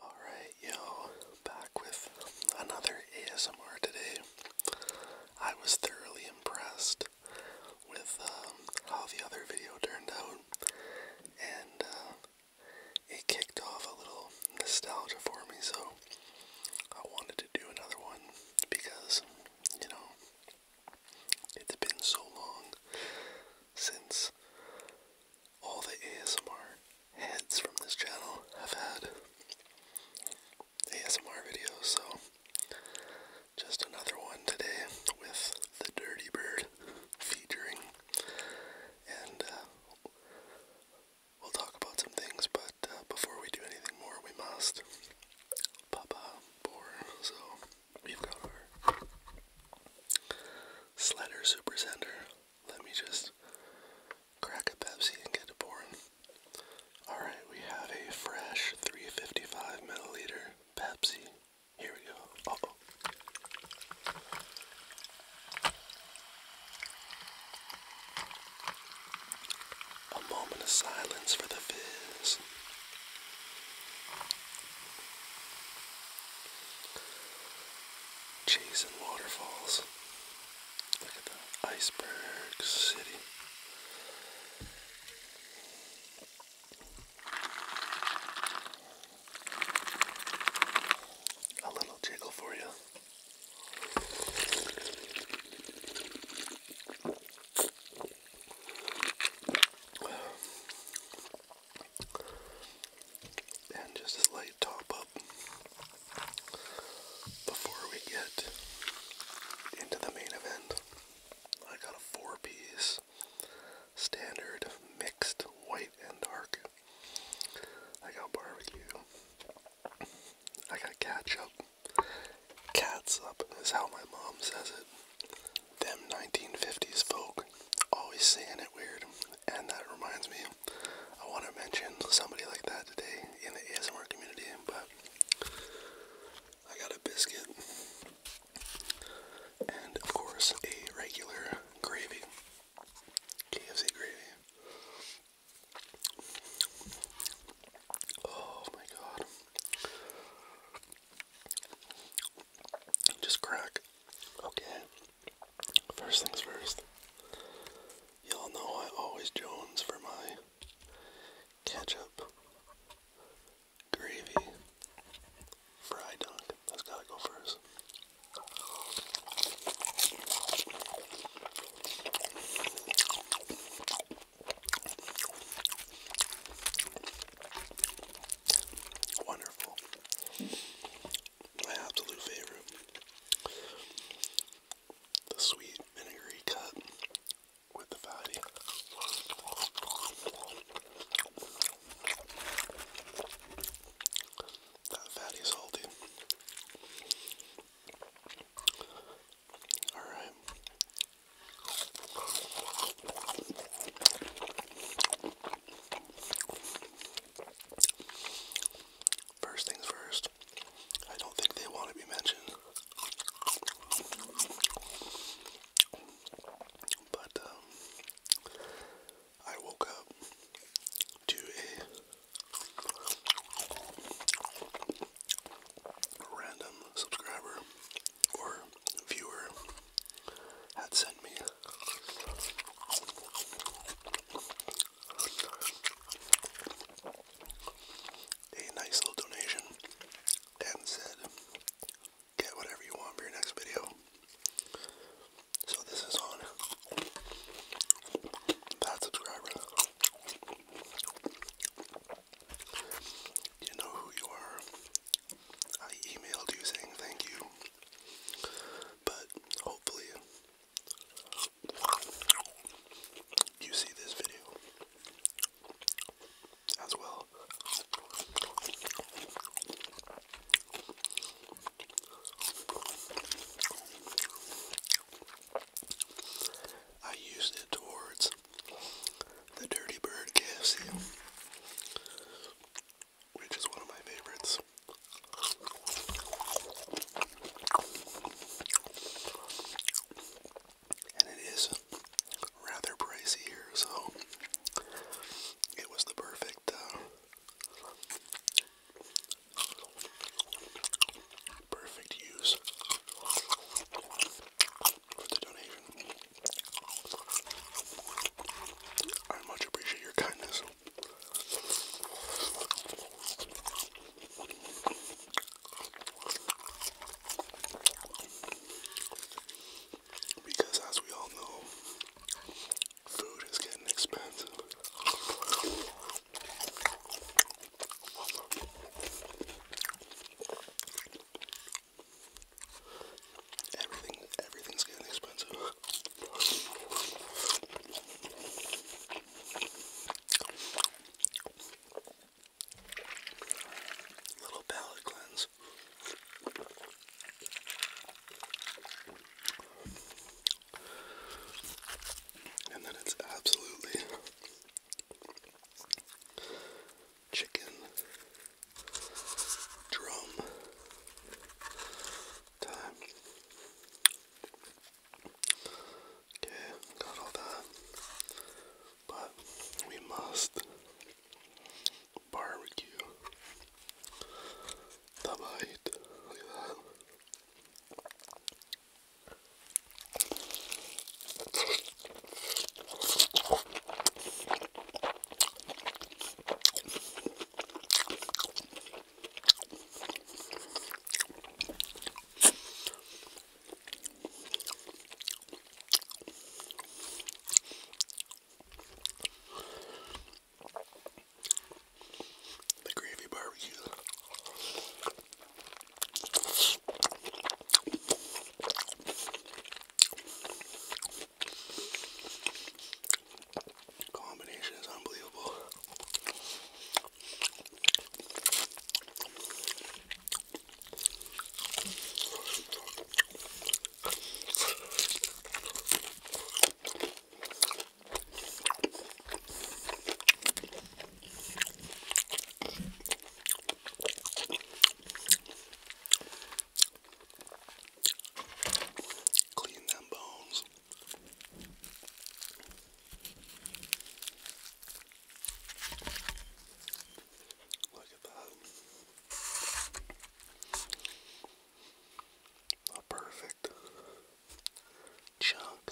Alright, yo, back with another ASMR today. I was thoroughly impressed with um, how the other video turned out, and uh, it kicked off a little nostalgia for me, so I wanted to do another one because, you know, it's been so long since all the ASMR heads from this channel have had ASMR videos, so just another one today with the Dirty Bird featuring, and uh, we'll talk about some things, but uh, before we do anything more, we must Papa Bore, so we've got our Sledder Super let me just crack a Pepsi and get it pouring. Alright, we have a fresh 355 milliliter Pepsi. Here we go. A moment of silence for the fizz chasing waterfalls. Look at the iceberg city. A little jiggle for you and just a light top up before we get into the main event. I got a four piece standard mixed white and dark. I got barbecue. I got ketchup. Cats up is how my mom says it. Them 1950s folk always saying it weird. And that reminds me I want to mention somebody like that today in the ASMR community, but I got a biscuit and, of course, a regular gravy, KFC gravy. Oh my god. Just crack. Okay. First things first, y'all know I always jones for my ketchup, gravy, fry dunk. That's gotta go first. Wonderful my absolute favorite. The sweet vinegary cut with the fatty. That fatty salty. Alright. First things first, I don't think they want to be mentioned. But um, I woke up to a random subscriber or viewer had sent me a nice little donation and said, get whatever you want for your next video. So this is on that subscriber. You know who you are. I emailed you saying thank you. But hopefully you see this video as well. I used it towards the Dirty Bird KFC which is one of my favorites. And it is rather pricey here, so it was the perfect, uh, perfect use for the donation. I much appreciate your kindness. Because as we all know, food is getting expensive. Everything everything's getting expensive. Little palate cleanse. And then it's absolutely chicken drum time. Okay, got all that. But we must barbecue the Look at that. The gravy barbecue combination is unbelievable. Clean them bones. Look at that. A perfect chunk.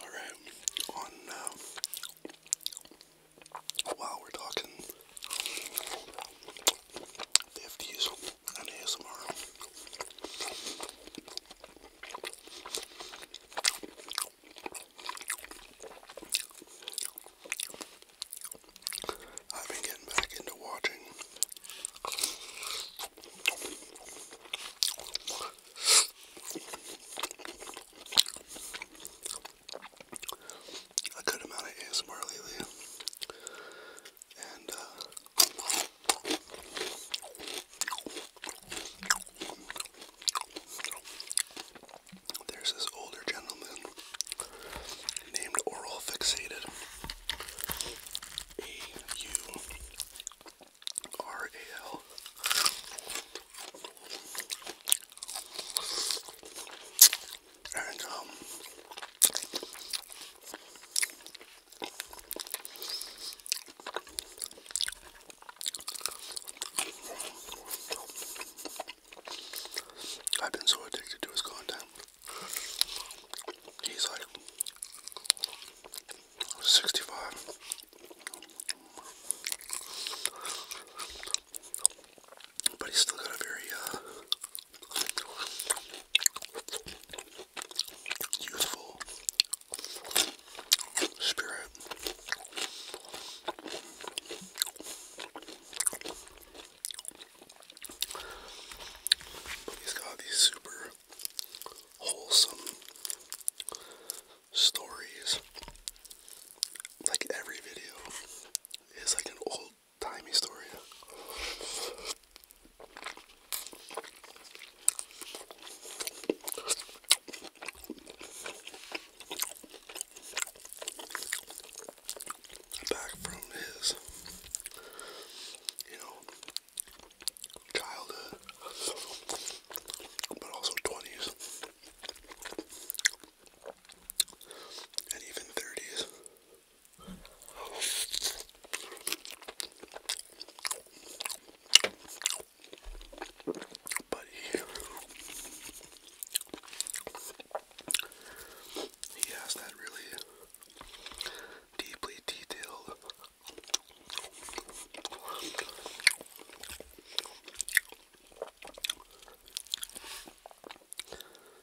All right on um, we're talking 50s I've been getting back into watching a good amount of ASMR lately. And, uh, there's this older gentleman named Oral Fixated. R-A-L. And, um, I've been so addicted to his content. He's like 65 but he's still got a very uh, youthful spirit. he's got these super wholesome stories. Like every video is like an old timey story. Back from his, you know, childhood, but also 20s and even 30s. But he, he has that really deeply detailed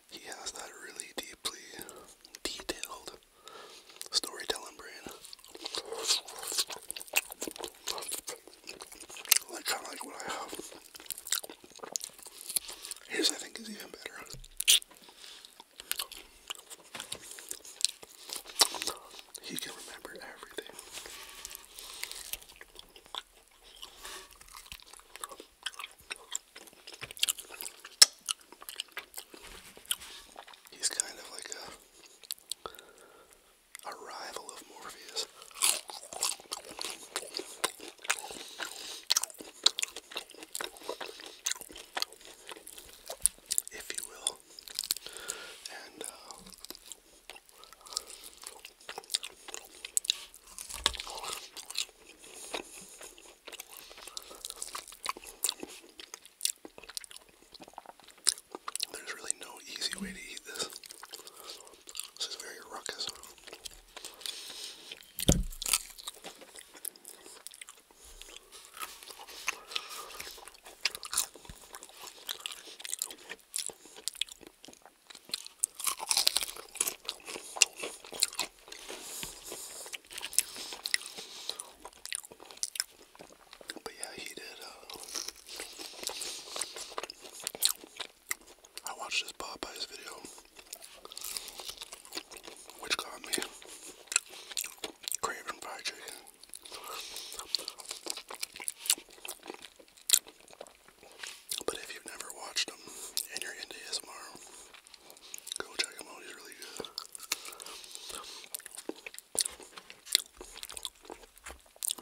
he has that really deeply detailed storytelling brain. Like kind of like what I have. His I think is even better. He can remember everything. He's kind of like a, a rival of Morpheus. If you will, and uh, there's really no easy way to eat this. This is very ruckus. But yeah, he did. Uh, I watched this Popeyes video, which got me craving fried chicken. But if you've never watched him and you're into ASMR, go check him out. He's really good.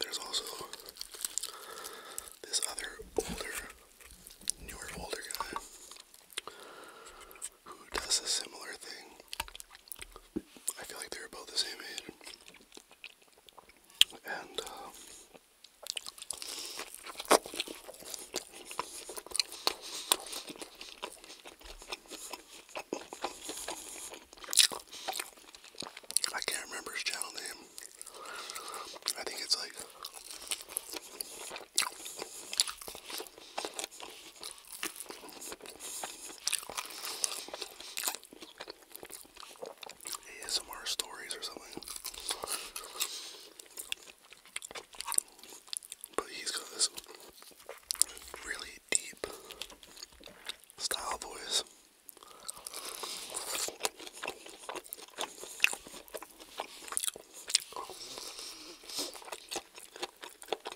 There's also this other older, newer, older guy who does a similar thing. I feel like they're about the same age. And, uh, I can't remember his channel name. I think it's like ASMR stories or something. But he's got this really deep style voice.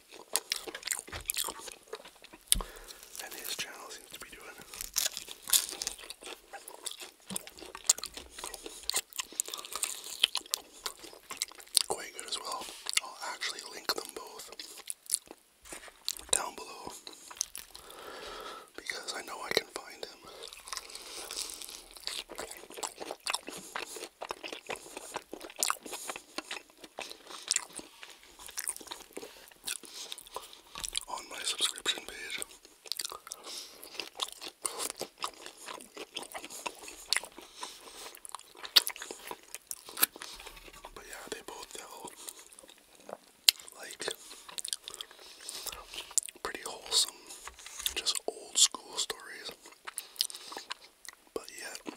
And his channel seems to be doing quite good as well. I'll actually link them both down below because I know I can find him on my subscription page. But yeah, they both feel like pretty wholesome, just old school stories, but yet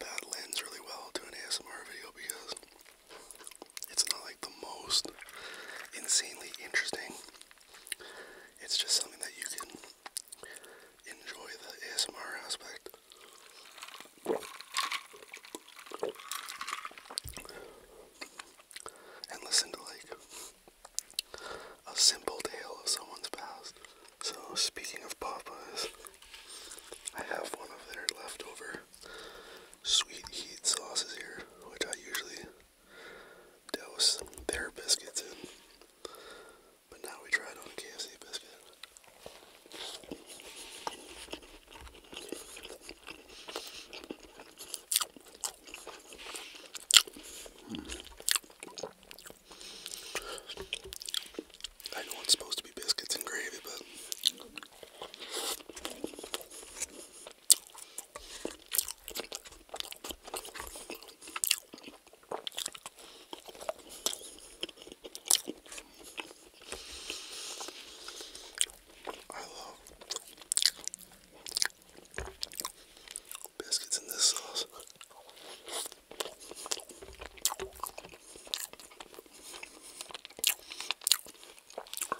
that lends really well to an ASMR video because it's not like the most insanely interesting. It's just something that you can enjoy the ASMR aspect. And listen to like a simple tale of someone's past. So speaking of Papa's, I have one of their leftover sweet heat sauces here, which I usually douse their biscuits in. But now we tried on a KFC biscuit. I know it's supposed to be biscuits and gravy, but I love biscuits and this sauce.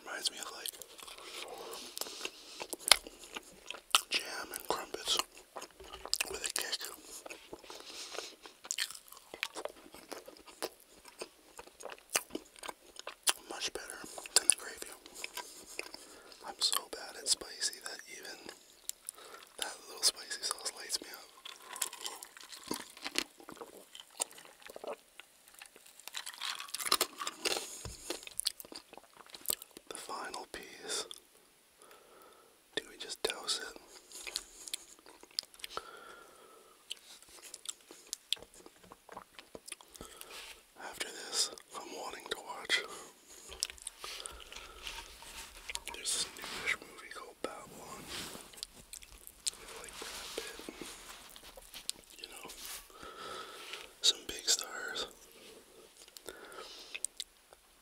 Reminds me of like jam and crumpets with a kick. Much better than the gravy. I'm so bad at spicy that even that little spicy sauce lights me up. The final piece. Do we just douse it? After this, I'm wanting to watch. this newish movie called Babylon you know, some big stars.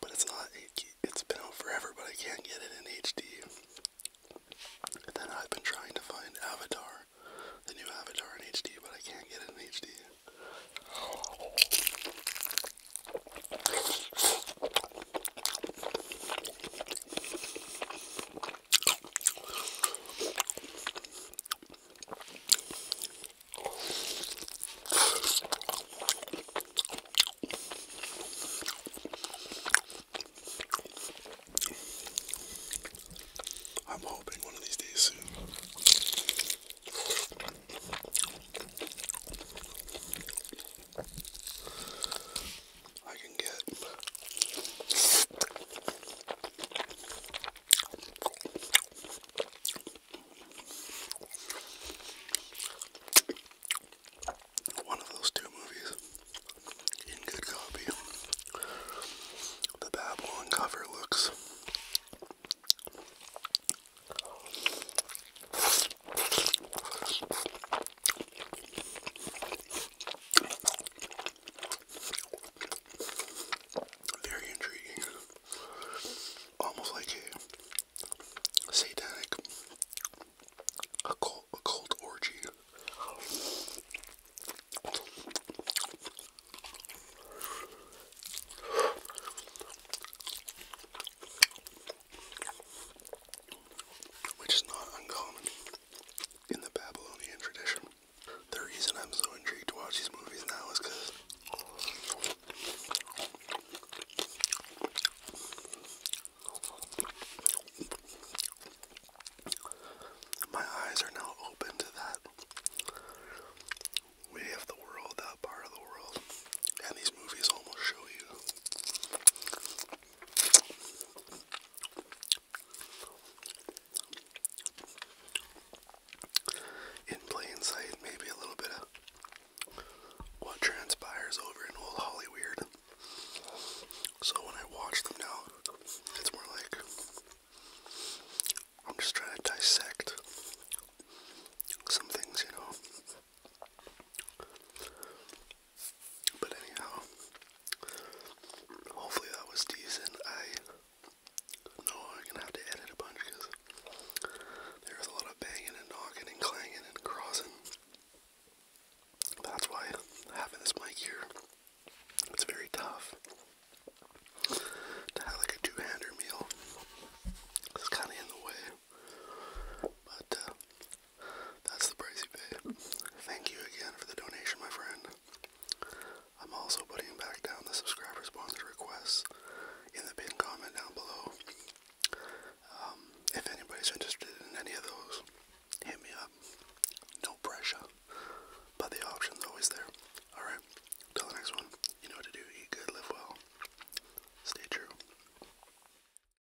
But it's not, it, it's been out forever, but I can't get it in HD. And then I've been trying to find Avatar, the new Avatar in HD, but I can't get it in HD. I'm hoping one of these days soon. I can get. One of those two movies in good copy. The Babylon cover looks very intriguing. Almost like a satanic occult, occult orgy which is not uncommon in the Babylonian tradition. The reason I'm so intrigued to watch these movies now is because my eyes are now open to that way of the world, that part of the world, and these movies almost show you in plain sight, maybe a little bit of what transpires over in old Hollyweird. So when I watch them now, it's more like I'm just trying to dissect some things, you know. But anyhow, hopefully that was decent. I know I'm gonna have to edit a bunch because there a lot of banging and knocking and clanging and crossing. That's why having this mic here, it's very tough to have like a two-hander meal. It's kind of in the way, but uh, that's the price you pay. Thank you again for the donation, my friend. I'm also putting back down the subscriber sponsor requests in the pinned comment down below. Um, if anybody's interested in any of those, hit me up. No pressure, but the option's always there. Alright, till the next one, you know what to do. Eat good, live well. Stay true.